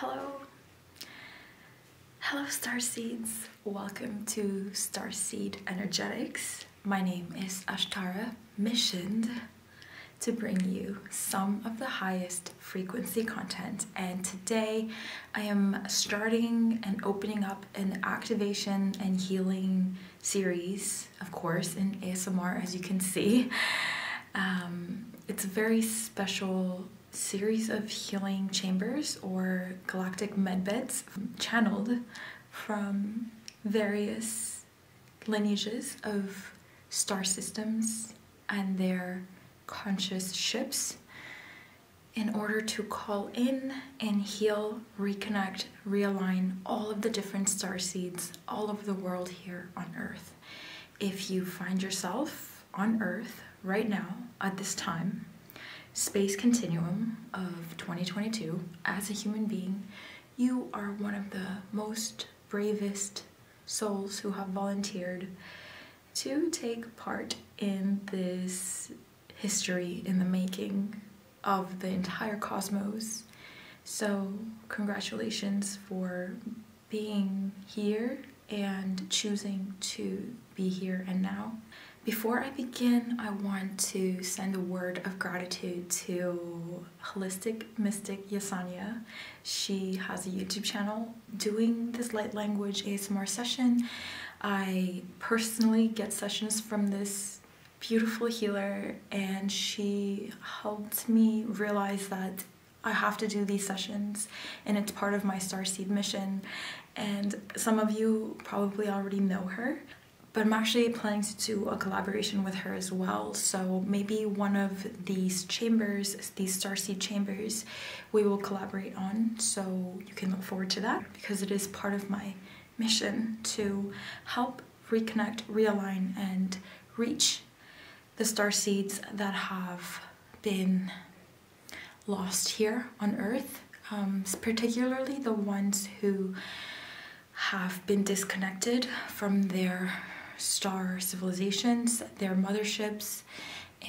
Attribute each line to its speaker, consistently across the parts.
Speaker 1: Hello. Hello star seeds. Welcome to Starseed Energetics. My name is Ashtara, missioned to bring you some of the highest frequency content and today I am starting and opening up an activation and healing series, of course, in ASMR as you can see. Um, it's a very special series of healing chambers or galactic medbeds channeled from various lineages of star systems and their conscious ships in order to call in and heal, reconnect, realign all of the different star seeds all over the world here on Earth if you find yourself on Earth right now at this time, space continuum of 2022, as a human being, you are one of the most bravest souls who have volunteered to take part in this history in the making of the entire cosmos. So, congratulations for being here and choosing to be here and now. Before I begin, I want to send a word of gratitude to Holistic Mystic Yasanya. She has a YouTube channel doing this light language ASMR session. I personally get sessions from this beautiful healer and she helped me realize that I have to do these sessions and it's part of my Star Seed mission. And some of you probably already know her, but I'm actually planning to do a collaboration with her as well. So maybe one of these chambers, these Star Seed chambers, we will collaborate on. So you can look forward to that because it is part of my mission to help reconnect, realign, and reach the star seeds that have been lost here on earth um, particularly the ones who have been disconnected from their star civilizations their motherships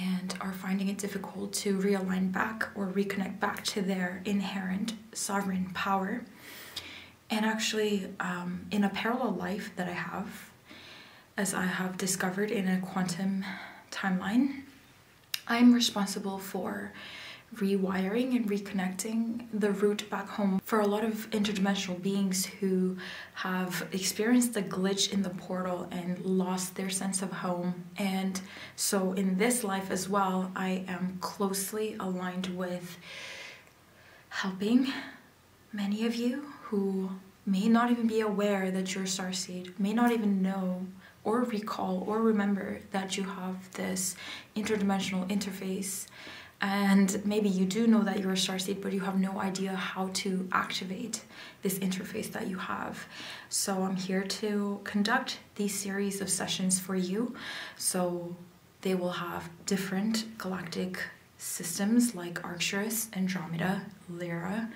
Speaker 1: and are finding it difficult to realign back or reconnect back to their inherent sovereign power and actually um, in a parallel life that i have as I have discovered in a quantum timeline, I'm responsible for rewiring and reconnecting the route back home for a lot of interdimensional beings who have experienced the glitch in the portal and lost their sense of home. And so, in this life as well, I am closely aligned with helping many of you who may not even be aware that you're a star seed, may not even know or recall or remember that you have this interdimensional interface. And maybe you do know that you're a star seed, but you have no idea how to activate this interface that you have. So I'm here to conduct these series of sessions for you. So they will have different galactic systems like Arcturus, Andromeda, Lyra,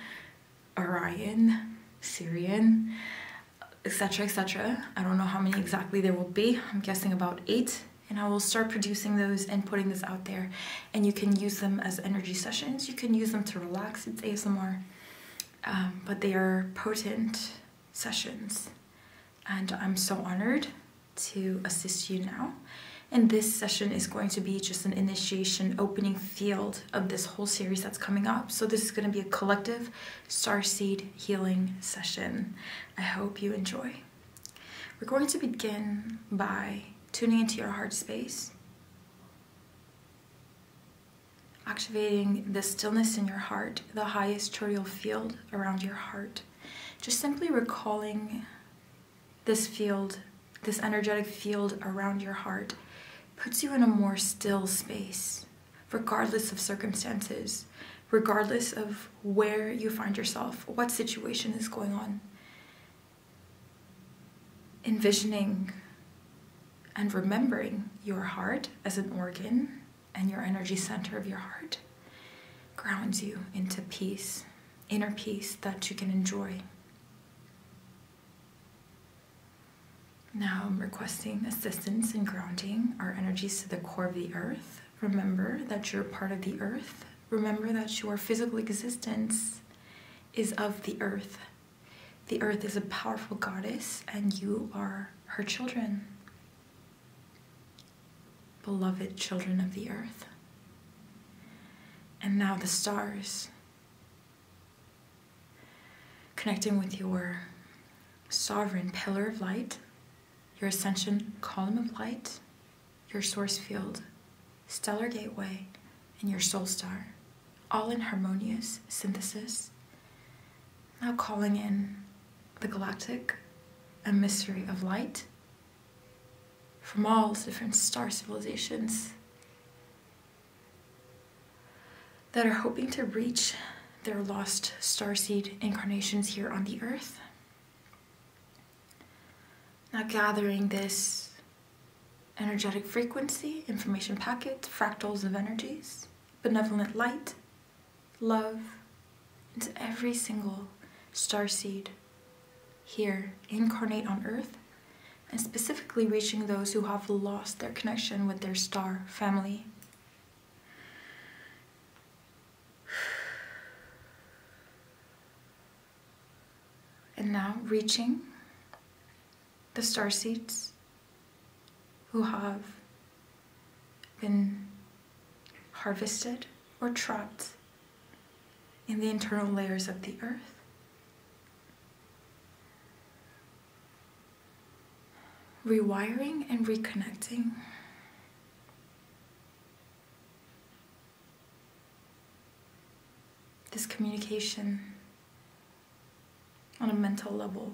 Speaker 1: Orion, Sirian, etc. etc. I don't know how many exactly there will be. I'm guessing about eight. And I will start producing those and putting this out there. And you can use them as energy sessions. You can use them to relax. It's ASMR. Um, but they are potent sessions. And I'm so honored to assist you now. And this session is going to be just an initiation opening field of this whole series that's coming up. So this is going to be a collective starseed healing session. I hope you enjoy. We're going to begin by tuning into your heart space, activating the stillness in your heart, the highest chorial field around your heart. Just simply recalling this field, this energetic field around your heart, puts you in a more still space, regardless of circumstances, regardless of where you find yourself, what situation is going on. Envisioning and remembering your heart as an organ and your energy center of your heart grounds you into peace inner peace that you can enjoy. Now I'm requesting assistance in grounding our energies to the core of the earth. Remember that you're part of the earth. Remember that your physical existence is of the earth. The earth is a powerful goddess and you are her children beloved children of the earth. And now the stars, connecting with your sovereign pillar of light, your ascension column of light, your source field, stellar gateway, and your soul star, all in harmonious synthesis. Now calling in the galactic, a mystery of light, from all different star civilizations that are hoping to reach their lost star seed incarnations here on the earth. Now, gathering this energetic frequency, information packets, fractals of energies, benevolent light, love, into every single star seed here incarnate on earth and specifically reaching those who have lost their connection with their star family. And now reaching the star seeds who have been harvested or trapped in the internal layers of the earth. Rewiring and reconnecting. This communication on a mental level.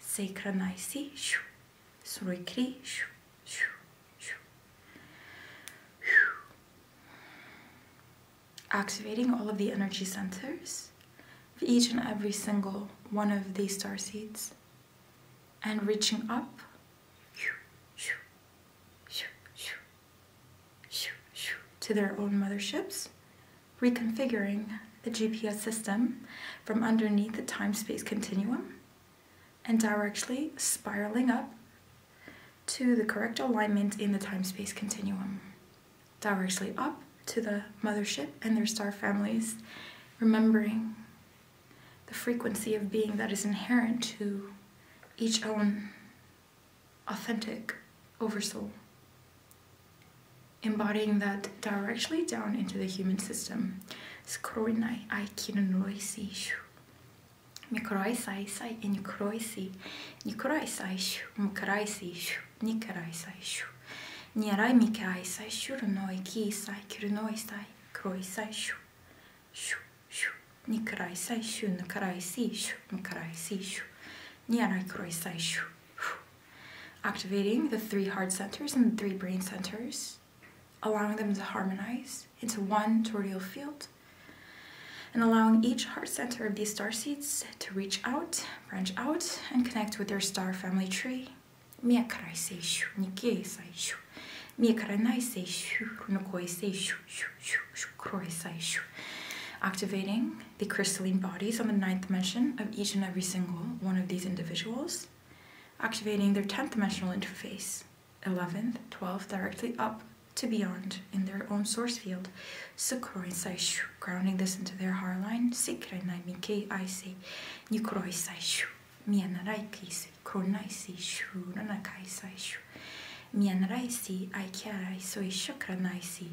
Speaker 1: Synchronize. Surikri. Activating all of the energy centers of each and every single one of these star seeds and reaching up. To their own motherships reconfiguring the GPS system from underneath the time-space continuum and directly spiraling up to the correct alignment in the time-space continuum, directly up to the mothership and their star families, remembering the frequency of being that is inherent to each own authentic oversoul embodying that directly down into the human system. Skroinai aikinroisi shu. Mikroisai sai nikroisi. Nikroisai shu. Mukaraisi shu. Nikaraisai shu. Nierai mikaisai shurunoi kisai kirunoisai kroisai shu. Shu. Shu. Nikaraisai shu. Nikaraisi shu. Mikaraisi shu. Nierai kroisai shu. shu activating the three heart centers and the three brain centers, allowing them to harmonize into one toroidal field, and allowing each heart center of these star seeds to reach out, branch out, and connect with their star family tree. shu shu shu shu Activating the crystalline bodies on the ninth dimension of each and every single one of these individuals, activating their 10th dimensional interface, 11th, 12th, directly up to beyond in their own source field, Sukroisai grounding this into their harline, heart line, Sikrai Nai Mikei Aisei, Yukroi Shu, Mianarai Kisei, Kronai Si Shu, Nanakai Sai Shu, Mianarai Si, Aikiarai Soi Shukranai Si,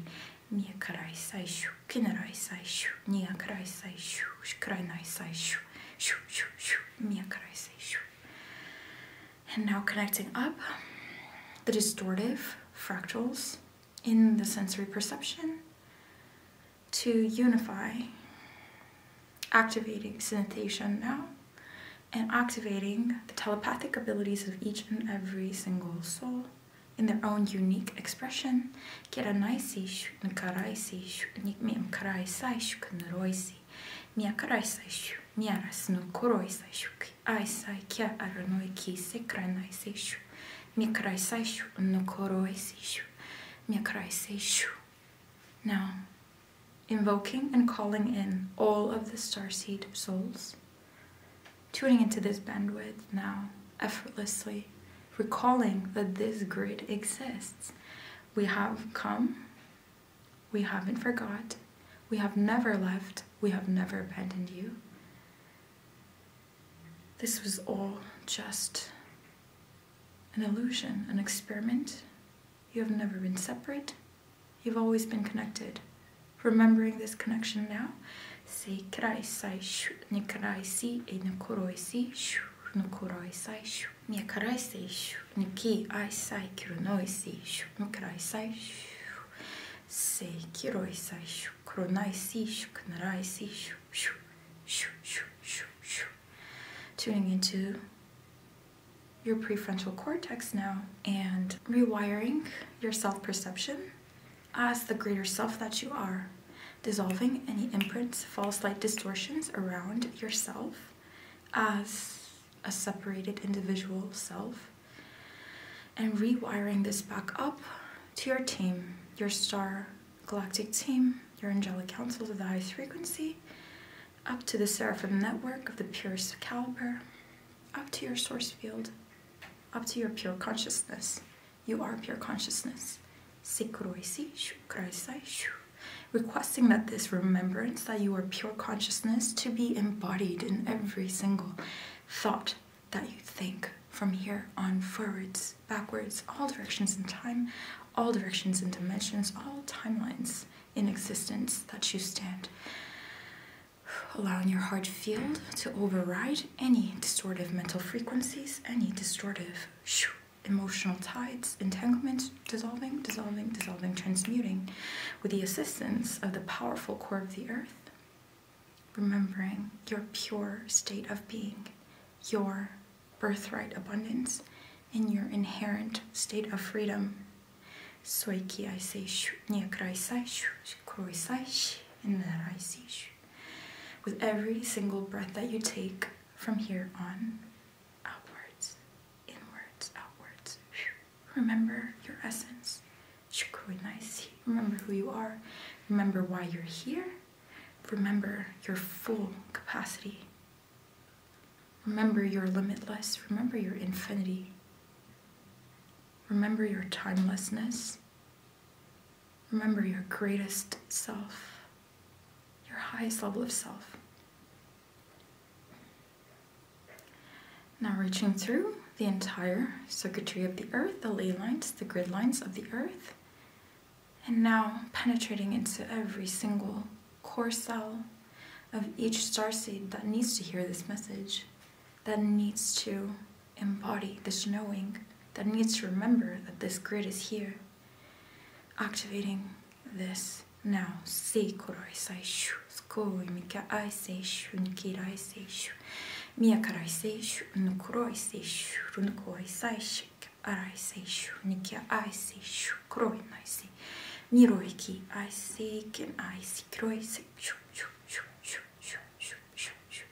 Speaker 1: Mie karai sai shu, kinarai sai shu, nia karai sai shu, shkrainai sai shu, shu, shu, shu, mia karai sai shu. And now connecting up the distortive fractals in the sensory perception to unify, activating sensation now and activating the telepathic abilities of each and every single soul in their own unique expression. Kiranaisish, Nkaraisish, Nikmiam Karaisaish, Knuroisi, Niakaraisaish, Niaras Nukuroisaish, Aisai Kia Aranoiki Sekranaisish, Mikraisaish, Nukuroisish, Mikraisaish. Now, invoking and calling in all of the starseed souls. Tuning into this bandwidth now, effortlessly, recalling that this grid exists. We have come, we haven't forgot, we have never left, we have never abandoned you. This was all just an illusion, an experiment. You have never been separate, you've always been connected. Remembering this connection now Seikraisai shu nikraisi e nukuroisi shu nukuroisai shu miakaraisai shu niki aisai kirunoisi shu nukraisai shu seikiroisai shu kronaisi shu knaraisi shu shu shu shu shu shu tuning into your prefrontal cortex now and rewiring your self perception as the greater self that you are, dissolving any imprints, false light distortions around yourself as a separated individual self, and rewiring this back up to your team, your star galactic team, your angelic councils of the highest frequency, up to the seraphim network of the purest caliber, up to your source field, up to your pure consciousness. You are pure consciousness. Requesting that this remembrance that you are pure consciousness to be embodied in every single thought that you think from here on forwards, backwards, all directions in time, all directions in dimensions, all timelines in existence that you stand allowing your heart field to override any distortive mental frequencies, any distortive emotional tides, entanglements, dissolving, dissolving, dissolving, transmuting with the assistance of the powerful core of the earth, remembering your pure state of being, your birthright abundance, and your inherent state of freedom. Soy ki I shu, nia sai shu, kuroi sai shi, and that I shu with every single breath that you take from here on. Outwards, inwards, outwards. Remember your essence. Remember who you are. Remember why you're here. Remember your full capacity. Remember your limitless. Remember your infinity. Remember your timelessness. Remember your greatest self, your highest level of self. Now reaching through the entire circuitry of the earth, the ley lines, the grid lines of the earth, and now penetrating into every single core cell of each star seed that needs to hear this message, that needs to embody this knowing that needs to remember that this grid is here. Activating this now. Sei koroi sai shu, skoi mika ai sei shu, nikirai sei shu, miakarai sei shu, nukuroi sei shu, runukoi sai shu, arai sei shu, nikia ai sei shu, kroi nai sei, niroi ki ai sei, ken ai sei, kroi sei shu, shu, shu, shu, shu, shu, shu, shu.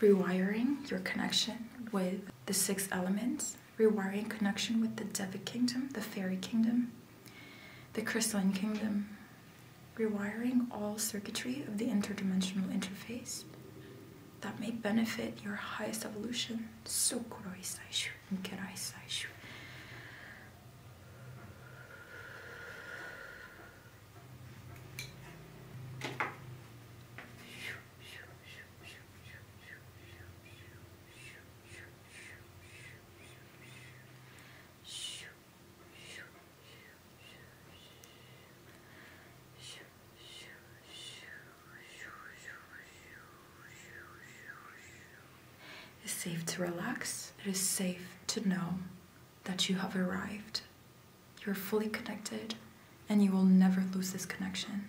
Speaker 1: rewiring your connection with the six elements, rewiring connection with the Devic kingdom, the fairy kingdom, the crystalline kingdom, rewiring all circuitry of the interdimensional interface that may benefit your highest evolution. Sokuroi Saishu, Nkerai Saishu. It's safe to relax. It is safe to know that you have arrived you are fully connected, and you will never lose this connection.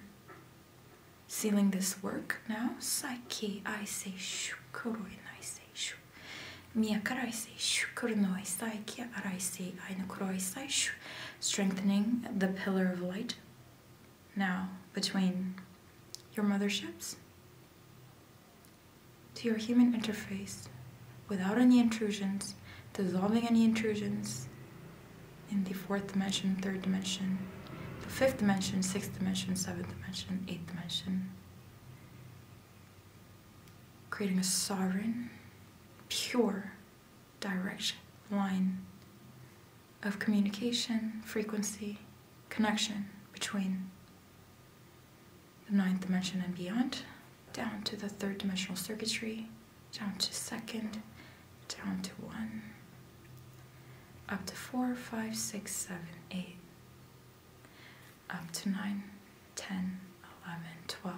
Speaker 1: Sealing this work now, Saiki I say shu, kuroi nai say shu. Mia karai say shu, kuronoi saiki arai say ainu kuroi sai shu. Strengthening the pillar of light now between your motherships to your human interface without any intrusions, dissolving any intrusions in the fourth dimension, third dimension, the fifth dimension, sixth dimension, seventh dimension, eighth dimension. Creating a sovereign, pure, direction line of communication, frequency, connection between the ninth dimension and beyond down to the third dimensional circuitry, down to second, down to one, up to four, five, six, seven, eight, up to nine, ten, eleven, twelve,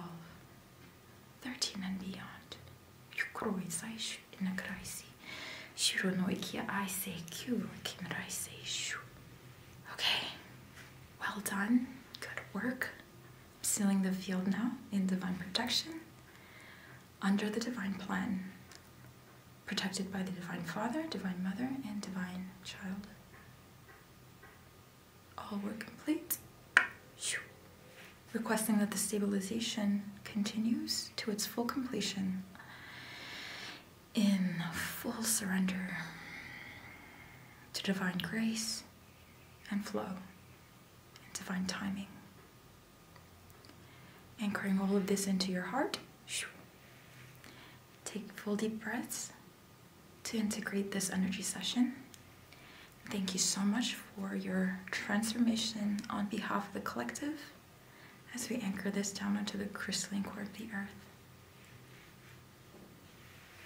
Speaker 1: thirteen, and beyond. You're nine, 10, 11, 12, 13 and beyond. Yukroi saishu inakraisi, shironoikia I say shu. Okay, well done, good work sealing the field now in divine protection under the divine plan, protected by the divine father, divine mother, and divine child. All were complete. Requesting that the stabilization continues to its full completion in full surrender to divine grace and flow and find timing. Anchoring all of this into your heart. Take full deep breaths to integrate this energy session. Thank you so much for your transformation on behalf of the collective as we anchor this down onto the crystalline core of the earth.